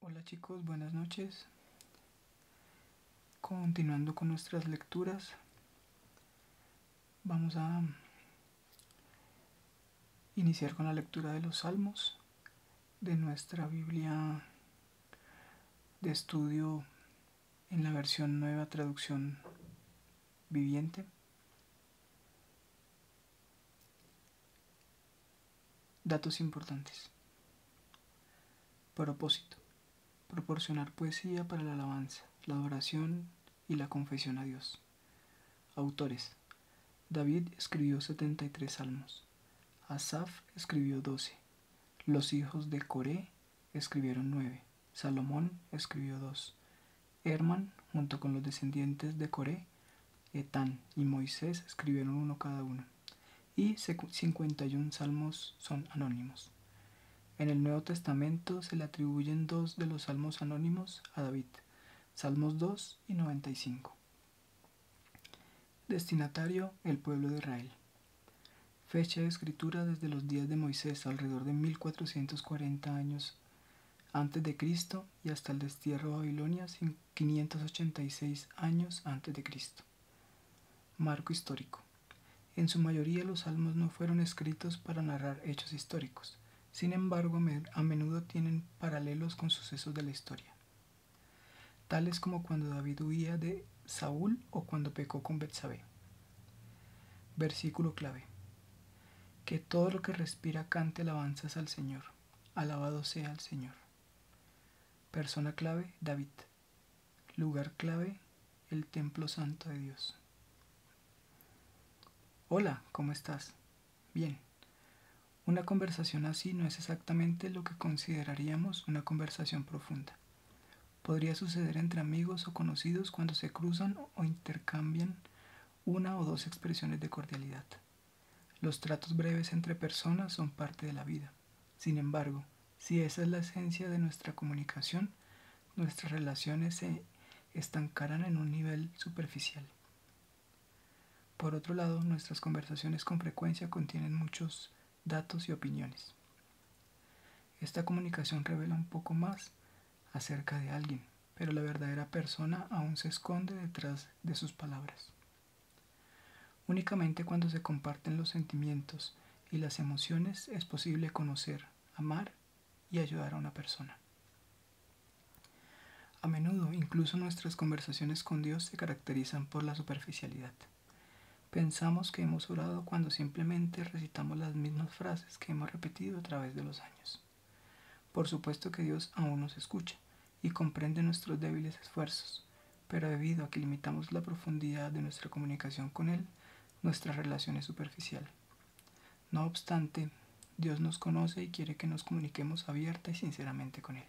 Hola chicos, buenas noches. Continuando con nuestras lecturas, vamos a iniciar con la lectura de los salmos de nuestra Biblia de estudio en la versión nueva traducción viviente. Datos importantes. Propósito. Proporcionar poesía para la alabanza, la adoración y la confesión a Dios. Autores. David escribió 73 salmos. Asaf escribió 12. Los hijos de Coré escribieron 9. Salomón escribió 2. Herman, junto con los descendientes de Coré, Etán y Moisés escribieron uno cada uno y 51 salmos son anónimos. En el Nuevo Testamento se le atribuyen dos de los salmos anónimos a David, Salmos 2 y 95. Destinatario, el pueblo de Israel. Fecha de escritura desde los días de Moisés, alrededor de 1440 años antes de Cristo y hasta el destierro de Babilonia, 586 años antes de Cristo. Marco histórico. En su mayoría los salmos no fueron escritos para narrar hechos históricos, sin embargo a menudo tienen paralelos con sucesos de la historia, tales como cuando David huía de Saúl o cuando pecó con Betsabé. Versículo clave. Que todo lo que respira cante alabanzas al Señor. Alabado sea el Señor. Persona clave, David. Lugar clave, el Templo Santo de Dios. Hola, ¿cómo estás? Bien. Una conversación así no es exactamente lo que consideraríamos una conversación profunda. Podría suceder entre amigos o conocidos cuando se cruzan o intercambian una o dos expresiones de cordialidad. Los tratos breves entre personas son parte de la vida. Sin embargo, si esa es la esencia de nuestra comunicación, nuestras relaciones se estancarán en un nivel superficial. Por otro lado, nuestras conversaciones con frecuencia contienen muchos datos y opiniones. Esta comunicación revela un poco más acerca de alguien, pero la verdadera persona aún se esconde detrás de sus palabras. Únicamente cuando se comparten los sentimientos y las emociones es posible conocer, amar y ayudar a una persona. A menudo incluso nuestras conversaciones con Dios se caracterizan por la superficialidad. Pensamos que hemos orado cuando simplemente recitamos las mismas frases que hemos repetido a través de los años. Por supuesto que Dios aún nos escucha y comprende nuestros débiles esfuerzos, pero debido a que limitamos la profundidad de nuestra comunicación con Él, nuestra relación es superficial. No obstante, Dios nos conoce y quiere que nos comuniquemos abierta y sinceramente con Él.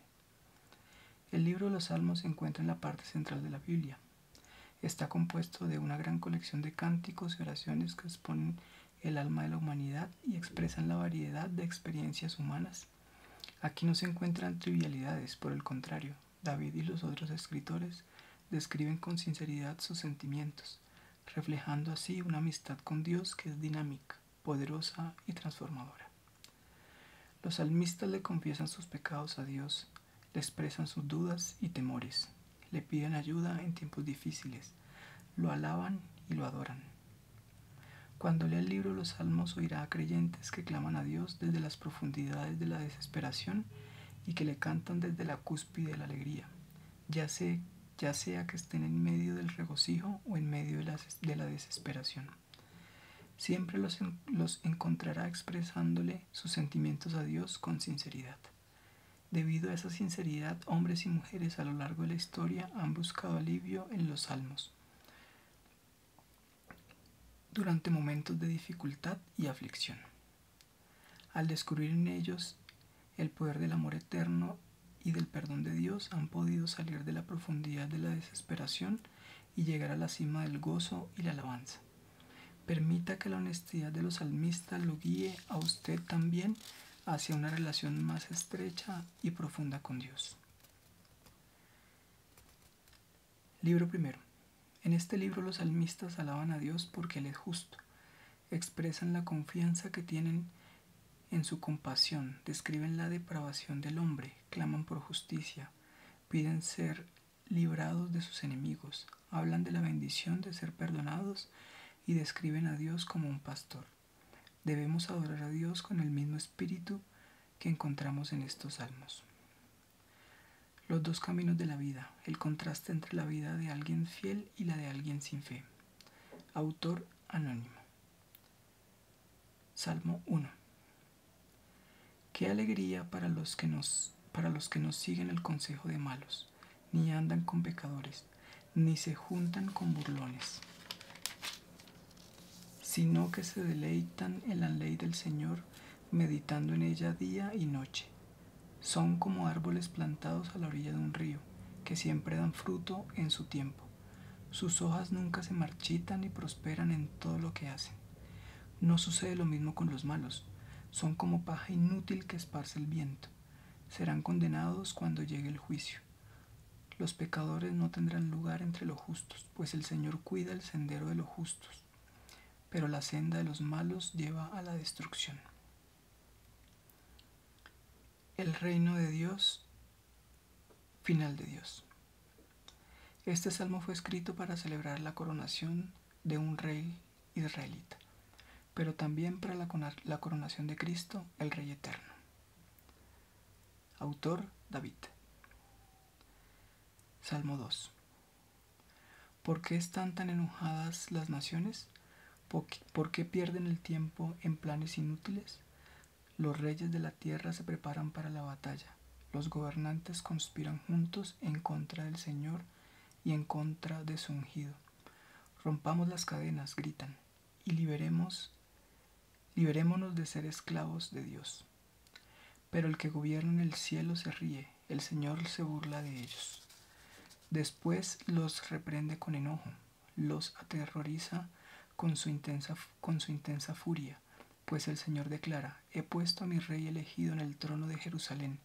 El libro de los Salmos se encuentra en la parte central de la Biblia. Está compuesto de una gran colección de cánticos y oraciones que exponen el alma de la humanidad y expresan la variedad de experiencias humanas Aquí no se encuentran trivialidades, por el contrario, David y los otros escritores describen con sinceridad sus sentimientos, reflejando así una amistad con Dios que es dinámica, poderosa y transformadora. Los salmistas le confiesan sus pecados a Dios, le expresan sus dudas y temores, le piden ayuda en tiempos difíciles, lo alaban y lo adoran. Cuando lea el libro los salmos oirá a creyentes que claman a Dios desde las profundidades de la desesperación y que le cantan desde la cúspide de la alegría, ya, sea, que estén en medio del regocijo o en medio de la, desesperación. Siempre los encontrará expresándole sus sentimientos a Dios con sinceridad. Debido a esa sinceridad, hombres y mujeres a lo largo de la historia han buscado alivio en los salmos durante momentos de dificultad y aflicción. Al descubrir en ellos el poder del amor eterno y del perdón de Dios, han podido salir de la profundidad de la desesperación y llegar a la cima del gozo y la alabanza. Permita que la honestidad de los salmistas lo guíe a usted también hacia una relación más estrecha y profunda con Dios. Libro primero. En este libro los salmistas alaban a Dios porque Él es justo. Expresan la confianza que tienen en su compasión, describen la depravación del hombre, claman por justicia, piden ser librados de sus enemigos, hablan de la bendición de ser perdonados y describen a Dios como un pastor. Debemos adorar a Dios con el mismo espíritu que encontramos en estos salmos. Los dos caminos de la vida, el contraste entre la vida de alguien fiel y la de alguien sin fe. Autor anónimo. Salmo 1. Qué alegría para los que nos para los que no siguen el consejo de malos, ni andan con pecadores, ni se juntan con burlones sino que se deleitan en la ley del Señor, meditando en ella día y noche. Son como árboles plantados a la orilla de un río, que siempre dan fruto en su tiempo. Sus hojas nunca se marchitan y prosperan en todo lo que hacen. No sucede lo mismo con los malos, son como paja inútil que esparce el viento. Serán condenados cuando llegue el juicio. Los pecadores no tendrán lugar entre los justos, pues el Señor cuida el sendero de los justos, pero la senda de los malos lleva a la destrucción. El reino de Dios, final de Dios. Este salmo fue escrito para celebrar la coronación de un rey israelita, pero también para la, coronación de Cristo, el Rey Eterno. Autor David. Salmo 2. ¿Por qué están tan enojadas las naciones? ¿Por qué, pierden el tiempo en planes inútiles? Los reyes de la tierra se preparan para la batalla. Los gobernantes conspiran juntos en contra del Señor y en contra de su ungido. Rompamos las cadenas, gritan y liberemos, liberémonos de ser esclavos de Dios. Pero el que gobierna en el cielo se ríe, el Señor se burla de ellos. Después los reprende con enojo, los aterroriza con su intensa, con su intensa furia, pues el Señor declara, he puesto a mi rey elegido en el trono de Jerusalén,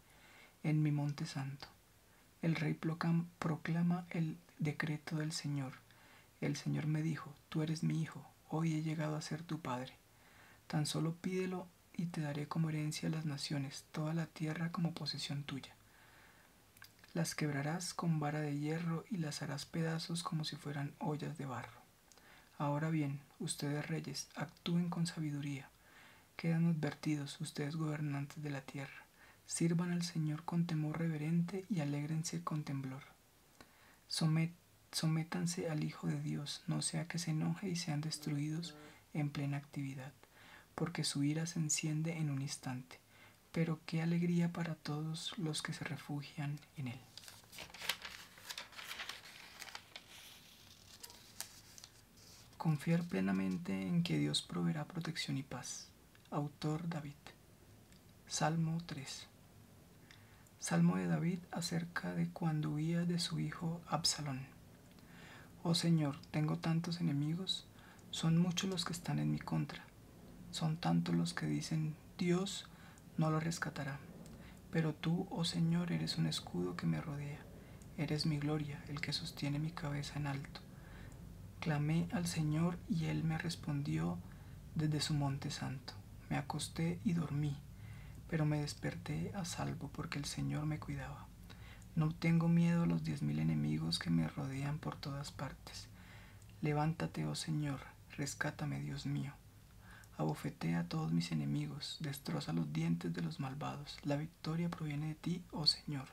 en mi monte santo. El rey proclama el decreto del Señor. El Señor me dijo, tú eres mi hijo, hoy he llegado a ser tu padre. Tan solo pídelo y te daré como herencia las naciones, toda la tierra como posesión tuya. Las quebrarás con vara de hierro y las harás pedazos como si fueran ollas de barro. Ahora bien, ustedes reyes, actúen con sabiduría. Quedan advertidos ustedes gobernantes de la tierra. Sirvan al Señor con temor reverente y alégrense con temblor. sométanse al Hijo de Dios, no sea que se enoje y sean destruidos en plena actividad, porque su ira se enciende en un instante. Pero qué alegría para todos los que se refugian en Él. Confiar plenamente en que Dios proveerá protección y paz. Autor David. Salmo 3. Salmo de David acerca de cuando huía de su hijo Absalón. Oh Señor, tengo tantos enemigos, son muchos los que están en mi contra, son tantos los que dicen, Dios no lo rescatará. Pero tú, oh Señor, eres un escudo que me rodea, eres mi gloria, el que sostiene mi cabeza en alto. Clamé al Señor y Él me respondió desde su monte santo. Me acosté y dormí, pero me desperté a salvo porque el Señor me cuidaba. No tengo miedo a los diez mil enemigos que me rodean por todas partes. Levántate, oh Señor, rescátame, Dios mío. Abofetea a todos mis enemigos, destroza los dientes de los malvados. La victoria proviene de ti, oh Señor.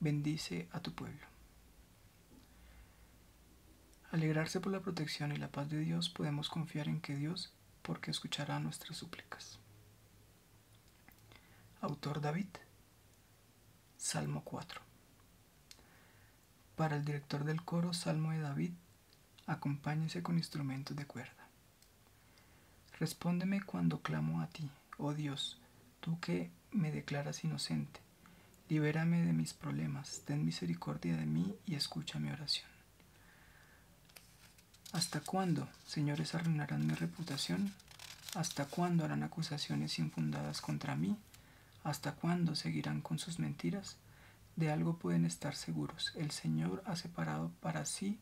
Bendice a tu pueblo. Alegrarse por la protección y la paz de Dios, podemos confiar en que Dios, porque escuchará nuestras súplicas. Autor David, Salmo 4. Para el director del coro Salmo de David, acompáñese con instrumentos de cuerda. Respóndeme cuando clamo a ti, oh Dios, tú que me declaras inocente Libérame de mis problemas, ten misericordia de mí y escucha mi oración. ¿Hasta cuándo, señores, arruinarán mi reputación? ¿Hasta cuándo harán acusaciones infundadas contra mí? ¿Hasta cuándo seguirán con sus mentiras? De algo pueden estar seguros. El Señor ha separado para sí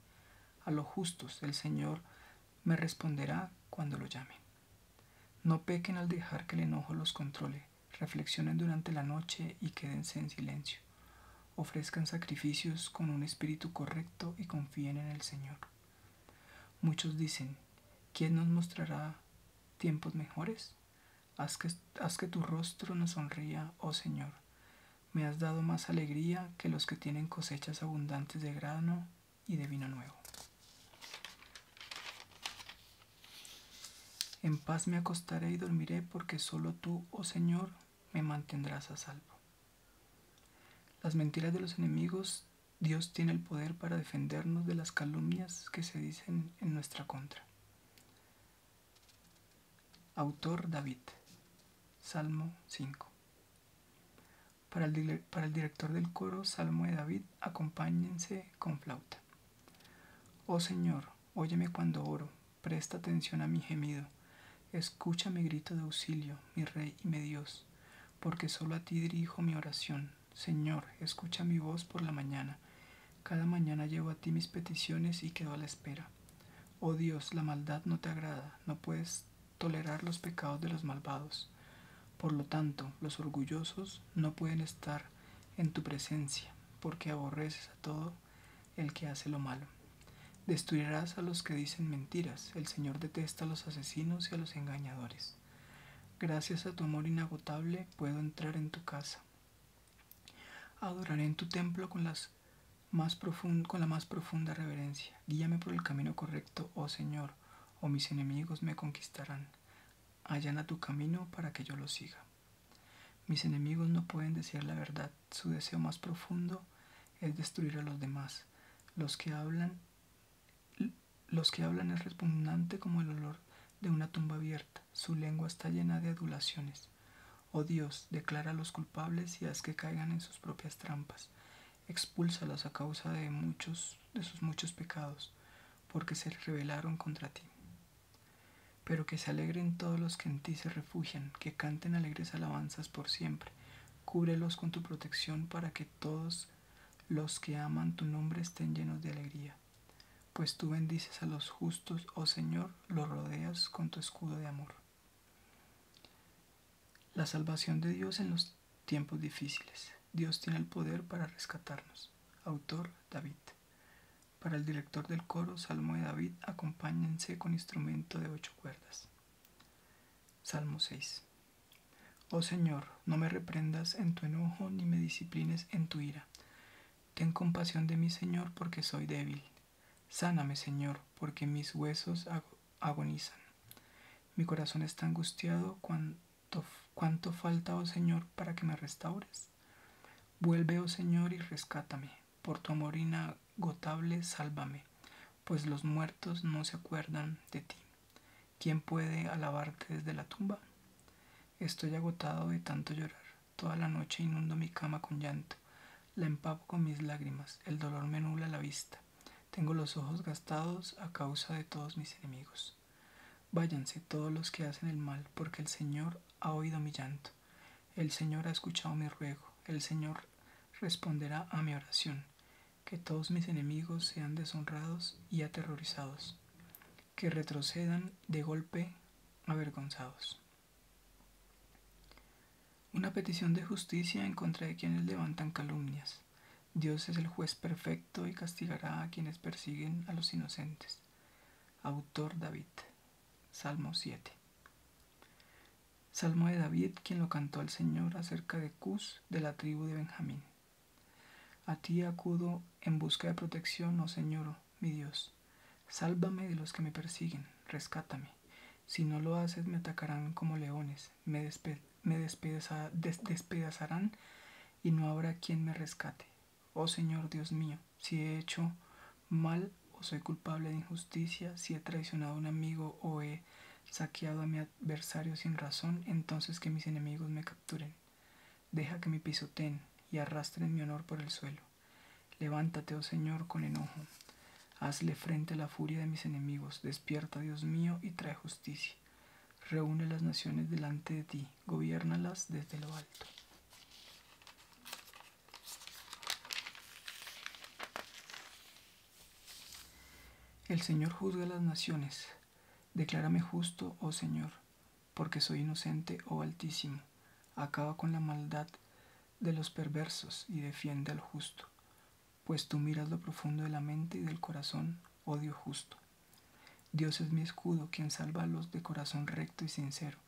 a los justos. El Señor me responderá cuando lo llamen. No pequen al dejar que el enojo los controle, reflexionen durante la noche y quédense en silencio. Ofrezcan sacrificios con un espíritu correcto y confíen en el Señor. Muchos dicen, ¿quién nos mostrará tiempos mejores? Haz que, tu rostro nos sonría, oh Señor. Me has dado más alegría que los que tienen cosechas abundantes de grano y de vino nuevo. En paz me acostaré y dormiré porque solo tú, oh Señor, me mantendrás a salvo. Las mentiras de los enemigos, Dios tiene el poder para defendernos de las calumnias que se dicen en nuestra contra. Autor David, Salmo 5. Para el, director del coro, Salmo de David, acompáñense con flauta. Oh Señor, óyeme cuando oro, presta atención a mi gemido, escucha mi grito de auxilio, mi Rey y mi Dios, porque solo a ti dirijo mi oración. Señor, escucha mi voz por la mañana. Cada mañana llevo a ti mis peticiones y quedo a la espera. Oh Dios, la maldad no te agrada, no puedes tolerar los pecados de los malvados. Por lo tanto, los orgullosos no pueden estar en tu presencia, porque aborreces a todo el que hace lo malo. Destruirás a los que dicen mentiras. El Señor detesta a los asesinos y a los engañadores. Gracias a tu amor inagotable puedo entrar en tu casa. Adoraré en tu templo con la más profunda reverencia. Guíame por el camino correcto, oh Señor, o mis enemigos me conquistarán. Allana tu camino para que yo lo siga. Mis enemigos no pueden decir la verdad. Su deseo más profundo es destruir a los demás. Los que hablan, los que hablan es repugnante como el olor de una tumba abierta. Su lengua está llena de adulaciones. Oh Dios, declara a los culpables y haz que caigan en sus propias trampas. Expúlsalos a causa de muchos de sus muchos pecados porque se rebelaron contra ti. Pero que se alegren todos los que en ti se refugian, que canten alegres alabanzas por siempre. Cúbrelos con tu protección para que todos los que aman tu nombre estén llenos de alegría. Pues tú bendices a los justos, oh Señor, los rodeas con tu escudo de amor. La salvación de Dios en los tiempos difíciles. Dios tiene el poder para rescatarnos. Autor David. Para el director del coro, Salmo de David, acompáñense con instrumento de ocho cuerdas. Salmo 6. Oh Señor, no me reprendas en tu enojo ni me disciplines en tu ira. Ten compasión de mí, Señor, porque soy débil. Sáname, Señor, porque mis huesos agonizan. Mi corazón está angustiado cuando ¿Cuánto, falta, oh Señor, para que me restaures? Vuelve, oh Señor, y rescátame. Por tu amor inagotable, sálvame, pues los muertos no se acuerdan de ti. ¿Quién puede alabarte desde la tumba? Estoy agotado de tanto llorar. Toda la noche inundo mi cama con llanto. La empapo con mis lágrimas. El dolor me nubla la vista. Tengo los ojos gastados a causa de todos mis enemigos. Váyanse todos los que hacen el mal, porque el Señor ha oído mi llanto. El Señor ha escuchado mi ruego. El Señor responderá a mi oración. Que todos mis enemigos sean deshonrados y aterrorizados. Que retrocedan de golpe avergonzados. Una petición de justicia en contra de quienes levantan calumnias. Dios es el juez perfecto y castigará a quienes persiguen a los inocentes. Autor David. Salmo 7. Salmo de David, quien lo cantó al Señor acerca de Cus, de la tribu de Benjamín. A ti acudo en busca de protección, oh Señor, mi Dios. Sálvame de los que me persiguen, rescátame. Si no lo haces, me atacarán como leones, me, despe me despedazarán y no habrá quien me rescate. Oh Señor Dios mío, si he hecho mal o soy culpable de injusticia, si he traicionado a un amigo o he saqueado a mi adversario sin razón, entonces que mis enemigos me capturen. Deja que me pisoteen y arrastren mi honor por el suelo. Levántate, oh Señor, con enojo. Hazle frente a la furia de mis enemigos. Despierta, Dios mío, y trae justicia. Reúne las naciones delante de ti, gobiernalas desde lo alto. El Señor juzga las naciones. Declárame justo, oh Señor, porque soy inocente, oh Altísimo. Acaba con la maldad de los perversos y defiende al justo, pues tú miras lo profundo de la mente y del corazón, oh justo. Dios es mi escudo, quien salva a los de corazón recto y sincero.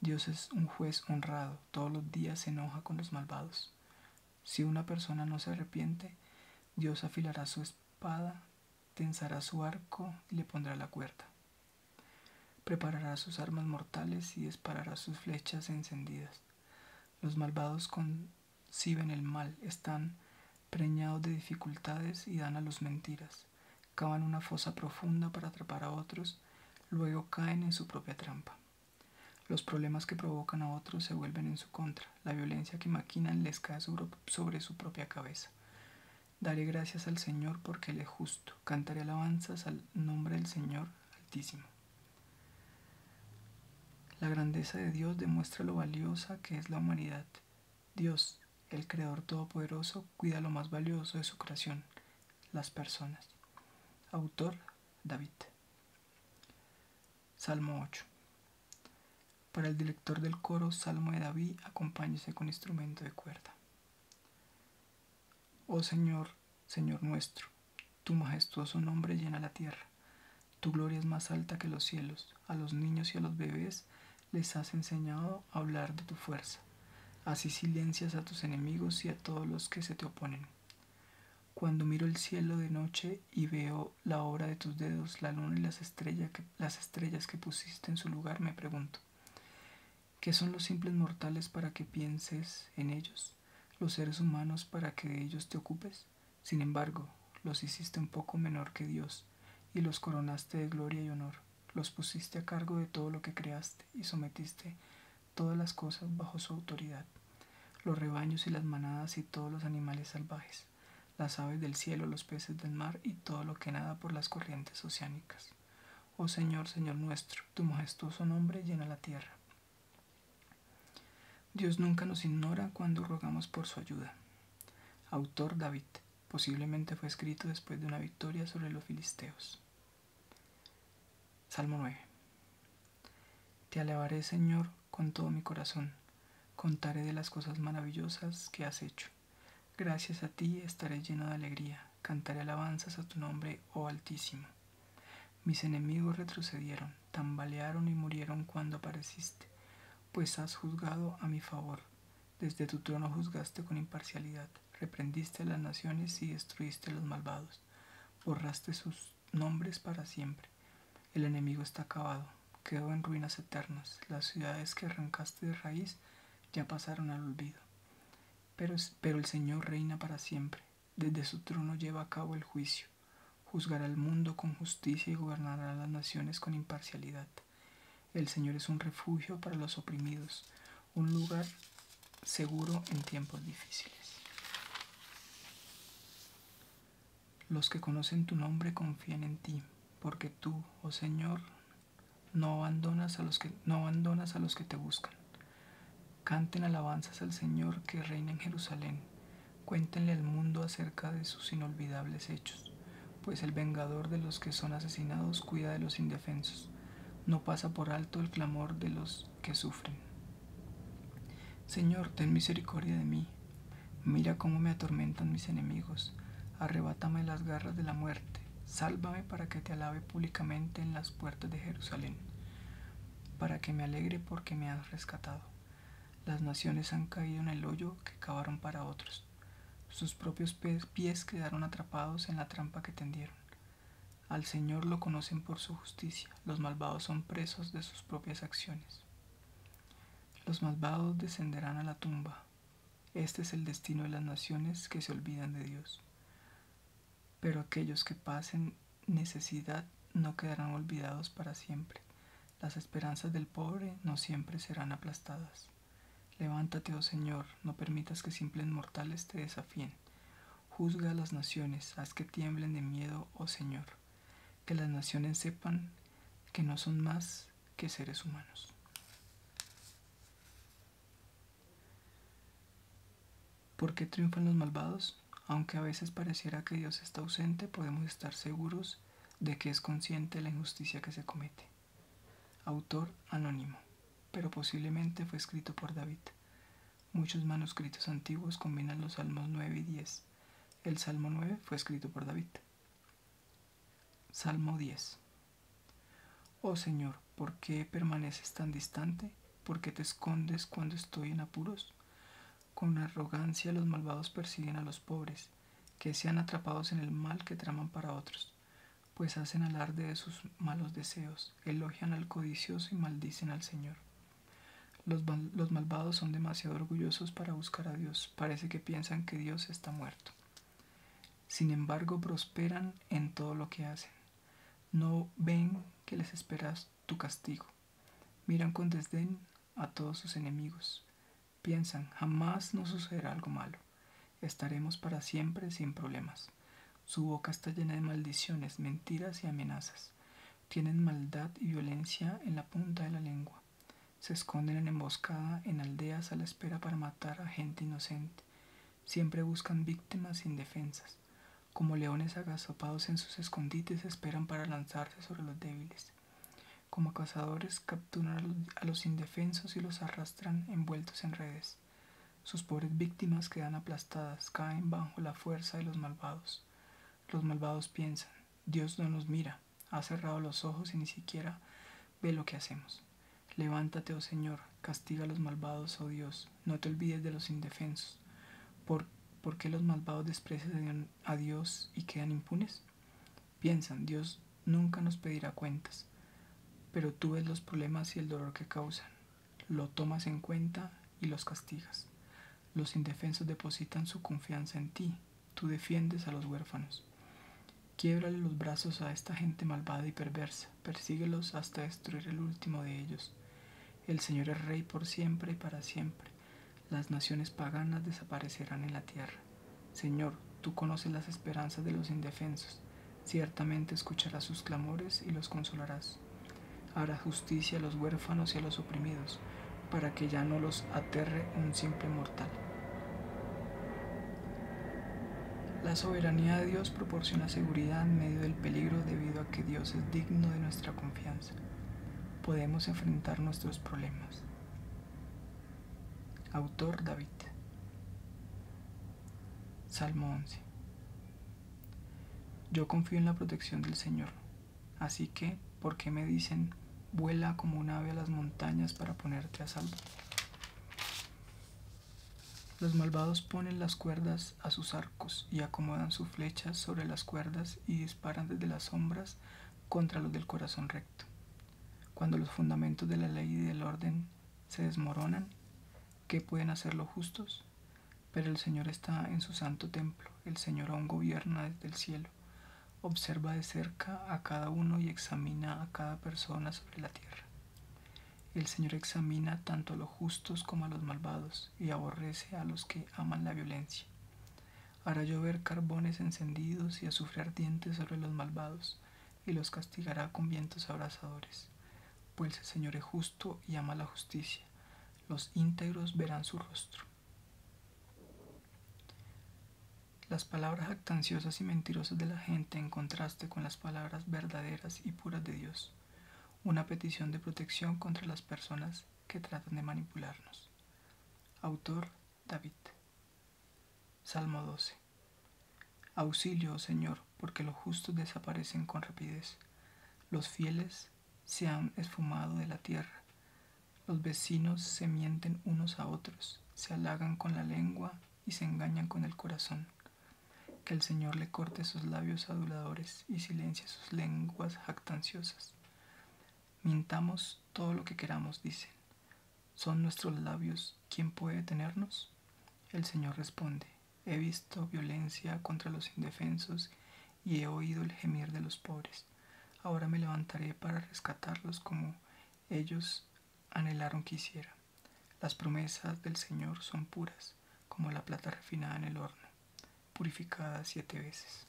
Dios es un juez honrado, todos los días se enoja con los malvados. Si una persona no se arrepiente, Dios afilará su espada, tensará su arco y le pondrá la cuerda. Preparará sus armas mortales y disparará sus flechas encendidas. Los malvados con si ven el mal, están preñados de dificultades y dan a los mentiras, cavan una fosa profunda para atrapar a otros, luego caen en su propia trampa. Los problemas que provocan a otros se vuelven en su contra, la violencia que maquinan les cae sobre su propia cabeza. Daré gracias al Señor porque Él es justo, cantaré alabanzas al nombre del Señor Altísimo. La grandeza de Dios demuestra lo valiosa que es la humanidad. Dios, el Creador Todopoderoso, cuida lo más valioso de su creación, las personas. Autor David. Salmo 8. Para el director del coro, Salmo de David, acompáñese con instrumento de cuerda. Oh Señor, Señor nuestro, tu majestuoso nombre llena la tierra. Tu gloria es más alta que los cielos. A los niños y a los bebés les has enseñado a hablar de tu fuerza. Así silencias a tus enemigos y a todos los que se te oponen. Cuando miro el cielo de noche y veo la obra de tus dedos, la luna y las, estrellas que, las estrellas que pusiste en su lugar, me pregunto, ¿qué son los simples mortales para que pienses en ellos? ¿Los seres humanos para que de ellos te ocupes? Sin embargo, los hiciste un poco menor que Dios y los coronaste de gloria y honor. Los pusiste a cargo de todo lo que creaste y sometiste todas las cosas bajo su autoridad, los rebaños y las manadas y todos los animales salvajes, las aves del cielo, los peces del mar y todo lo que nada por las corrientes oceánicas. Oh Señor, Señor nuestro, tu majestuoso nombre llena la tierra. Dios nunca nos ignora cuando rogamos por su ayuda. Autor David. Posiblemente fue escrito después de una victoria sobre los filisteos. Salmo 9. Te alabaré, Señor, con todo mi corazón. Contaré de las cosas maravillosas que has hecho. Gracias a ti estaré lleno de alegría. Cantaré alabanzas a tu nombre, oh Altísimo. Mis enemigos retrocedieron, tambalearon y murieron cuando apareciste, pues has juzgado a mi favor. Desde tu trono juzgaste con imparcialidad, reprendiste las naciones y destruiste los malvados, borraste sus nombres para siempre. El enemigo está acabado, quedó en ruinas eternas, las ciudades que arrancaste de raíz ya pasaron al olvido. Pero, pero el Señor reina para siempre, desde su trono lleva a cabo el juicio juzgará el mundo con justicia y gobernará las naciones con imparcialidad. El Señor es un refugio para los oprimidos, un lugar seguro en tiempos difíciles. Los que conocen tu nombre confían en ti, porque tú, oh Señor, no abandonas a los que no abandonas a los que te buscan. Canten alabanzas al Señor que reina en Jerusalén Cuéntenle al mundo acerca de sus inolvidables hechos, pues el vengador de los que son asesinados cuida de los indefensos, no pasa por alto el clamor de los que sufren. Señor, ten misericordia de mí, mira cómo me atormentan mis enemigos, arrebátame las garras de la muerte, sálvame para que te alabe públicamente en las puertas de Jerusalén, para que me alegre porque me has rescatado. Las naciones han caído en el hoyo que cavaron para otros. Sus propios pies quedaron atrapados en la trampa que tendieron. Al Señor lo conocen por su justicia. Los malvados son presos de sus propias acciones. Los malvados descenderán a la tumba. Este es el destino de las naciones que se olvidan de Dios. Pero aquellos que pasen necesidad no quedarán olvidados para siempre. Las esperanzas del pobre no siempre serán aplastadas. Levántate, oh Señor, no permitas que simples mortales te desafíen. Juzga a las naciones, haz que tiemblen de miedo, oh Señor. Que las naciones sepan que no son más que seres humanos. ¿Por qué triunfan los malvados? Aunque a veces pareciera que Dios está ausente, podemos estar seguros de que es consciente la injusticia que se comete. Autor anónimo, pero posiblemente fue escrito por David. Muchos manuscritos antiguos combinan los Salmos 9 y 10. El Salmo 9 fue escrito por David. Salmo 10. Oh Señor, ¿por qué permaneces tan distante? ¿Por qué te escondes cuando estoy en apuros? Con arrogancia los malvados persiguen a los pobres, que sean atrapados en el mal que traman para otros, pues hacen alarde de sus malos deseos, elogian al codicioso y maldicen al Señor. Los, malvados son demasiado orgullosos para buscar a Dios, parece que piensan que Dios está muerto. Sin embargo, prosperan en todo lo que hacen. No ven que les esperas tu castigo. Miran con desdén a todos sus enemigos. Piensan, jamás nos sucederá algo malo. Estaremos para siempre sin problemas. Su boca está llena de maldiciones, mentiras y amenazas. Tienen maldad y violencia en la punta de la lengua. Se esconden en emboscada en aldeas a la espera para matar a gente inocente. Siempre buscan víctimas indefensas. Como leones agazopados en sus escondites esperan para lanzarse sobre los débiles. Como cazadores capturan a los indefensos y los arrastran envueltos en redes. Sus pobres víctimas quedan aplastadas, caen bajo la fuerza de los malvados. Los malvados piensan, Dios no nos mira, ha cerrado los ojos y ni siquiera ve lo que hacemos. Levántate, oh Señor, castiga a los malvados, oh Dios, no te olvides de los indefensos. ¿Por, qué los malvados desprecian, a Dios y quedan impunes? Piensan, Dios nunca nos pedirá cuentas, pero tú ves los problemas y el dolor que causan, lo tomas en cuenta y los castigas. Los indefensos depositan su confianza en ti, tú defiendes a los huérfanos. Quiebrale los brazos a esta gente malvada y perversa, persíguelos hasta destruir el último de ellos. El Señor es Rey por siempre y para siempre las naciones paganas desaparecerán en la tierra. Señor, tú conoces las esperanzas de los indefensos, ciertamente escucharás sus clamores y los consolarás. Harás justicia a los huérfanos y a los oprimidos, para que ya no los aterre un simple mortal. La soberanía de Dios proporciona seguridad en medio del peligro debido a que Dios es digno de nuestra confianza podemos enfrentar nuestros problemas. Autor David. Salmo 11. Yo confío en la protección del Señor, así que, ¿por qué me dicen, vuela como un ave a las montañas para ponerte a salvo? Los malvados ponen las cuerdas a sus arcos y acomodan sus flechas sobre las cuerdas y disparan desde las sombras contra los del corazón recto. Cuando los fundamentos de la ley y del orden se desmoronan, ¿qué pueden hacer los justos? Pero el Señor está en su santo templo, el Señor aún gobierna desde el cielo, observa de cerca a cada uno y examina a cada persona sobre la tierra. El Señor examina tanto a los justos como a los malvados y aborrece a los que aman la violencia hará llover carbones encendidos y azufre ardientes sobre los malvados, y los castigará con vientos abrasadores. Pues el Señor es justo y ama la justicia. Los íntegros verán su rostro. Las palabras actanciosas y mentirosas de la gente en contraste con las palabras verdaderas y puras de Dios. Una petición de protección contra las personas que tratan de manipularnos. Autor David. Salmo 12. Auxilio, oh Señor, porque los justos desaparecen con rapidez. Los fieles se han esfumado de la tierra. Los vecinos se mienten unos a otros, se halagan con la lengua y se engañan con el corazón. Que el Señor le corte sus labios aduladores y silencie sus lenguas jactanciosas. Mintamos todo lo que queramos, dicen. ¿Son nuestros labios ¿quién puede tenernos? El Señor responde, he visto violencia contra los indefensos y he oído el gemir de los pobres. Ahora me levantaré para rescatarlos como ellos anhelaron que hiciera. Las promesas del Señor son puras, como la plata refinada en el horno purificada siete veces.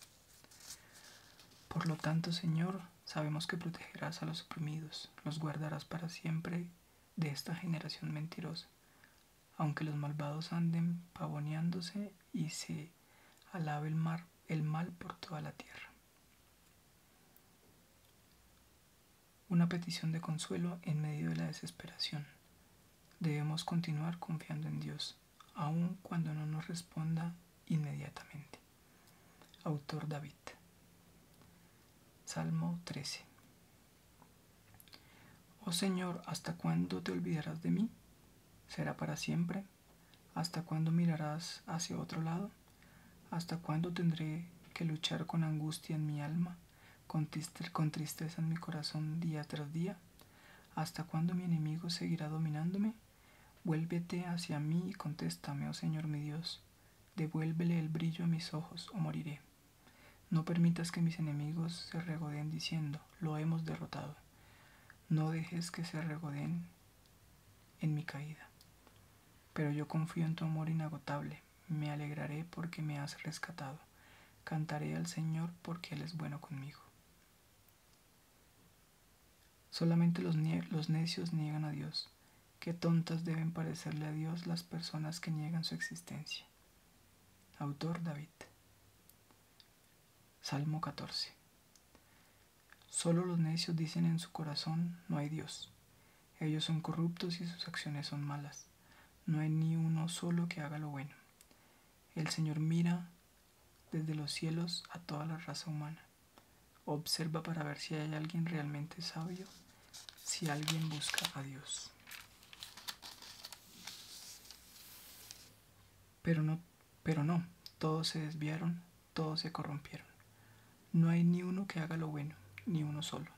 Por lo tanto, Señor, sabemos que protegerás a los oprimidos, los guardarás para siempre de esta generación mentirosa, aunque los malvados anden pavoneándose y se alabe el, el mal por toda la tierra. Una petición de consuelo en medio de la desesperación. Debemos continuar confiando en Dios, aun cuando no nos responda inmediatamente. Autor David. Salmo 13. Oh Señor, ¿hasta cuándo te olvidarás de mí? ¿Será para siempre? ¿Hasta cuándo mirarás hacia otro lado? ¿Hasta cuándo tendré que luchar con angustia en mi alma, con, tristeza en mi corazón día tras día? ¿Hasta cuándo mi enemigo seguirá dominándome? Vuélvete hacia mí y contéstame, oh Señor mi Dios. Devuélvele el brillo a mis ojos, o moriré. No permitas que mis enemigos se regodeen diciendo, lo hemos derrotado. No dejes que se regodeen en mi caída. Pero yo confío en tu amor inagotable. Me alegraré porque me has rescatado. Cantaré al Señor porque Él es bueno conmigo. Solamente los, necios niegan a Dios. Qué tontas deben parecerle a Dios las personas que niegan su existencia. Autor David. Salmo 14. Solo los necios dicen en su corazón, no hay Dios. Ellos son corruptos y sus acciones son malas. No hay ni uno solo que haga lo bueno. El Señor mira desde los cielos a toda la raza humana. Observa para ver si hay alguien realmente sabio, si alguien busca a Dios. Pero no, pero no, todos se desviaron, todos se corrompieron. No hay ni uno que haga lo bueno, ni uno solo.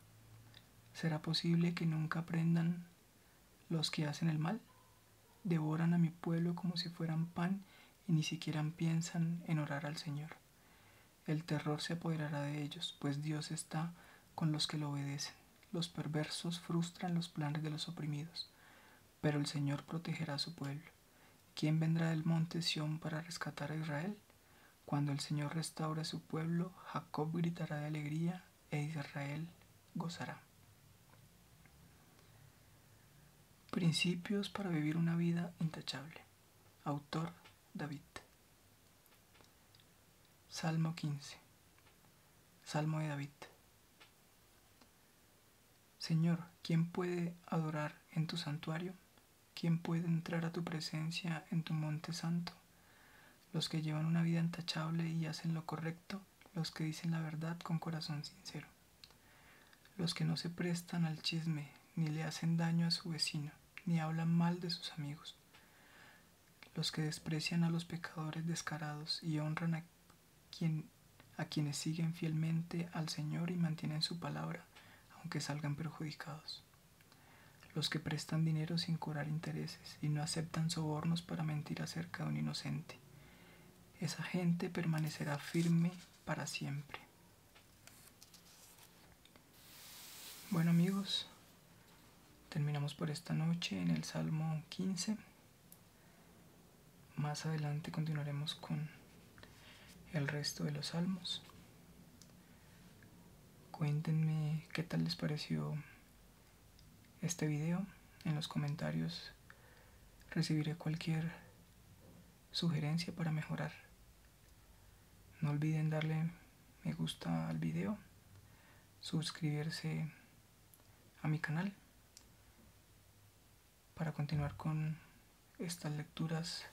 ¿Será posible que nunca aprendan los que hacen el mal? Devoran a mi pueblo como si fueran pan y ni siquiera piensan en orar al Señor. El terror se apoderará de ellos, pues Dios está con los que lo obedecen. Los perversos frustran los planes de los oprimidos, pero el Señor protegerá a su pueblo. ¿Quién vendrá del monte Sión para rescatar a Israel? Cuando el Señor restaure a su pueblo, Jacob gritará de alegría e Israel gozará. Principios para vivir una vida intachable. Autor David. Salmo 15. Salmo de David. Señor, ¿quién puede adorar en tu santuario? ¿Quién puede entrar a tu presencia en tu monte santo? Los que llevan una vida intachable y hacen lo correcto los que dicen la verdad con corazón sincero, los que no se prestan al chisme, ni le hacen daño a su vecino, ni hablan mal de sus amigos, los que desprecian a los pecadores descarados y honran a, quienes siguen fielmente al Señor y mantienen su palabra, aunque salgan perjudicados los que prestan dinero sin curar intereses y no aceptan sobornos para mentir acerca de un inocente, esa gente permanecerá firme para siempre. Bueno amigos, terminamos por esta noche en el Salmo 15. Más adelante continuaremos con el resto de los salmos. Cuéntenme qué tal les pareció este video. En los comentarios recibiré cualquier sugerencia para mejorar. No olviden darle me gusta al video, suscribirse a mi canal para continuar con estas lecturas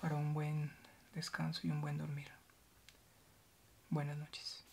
para un buen descanso y un buen dormir. Buenas noches.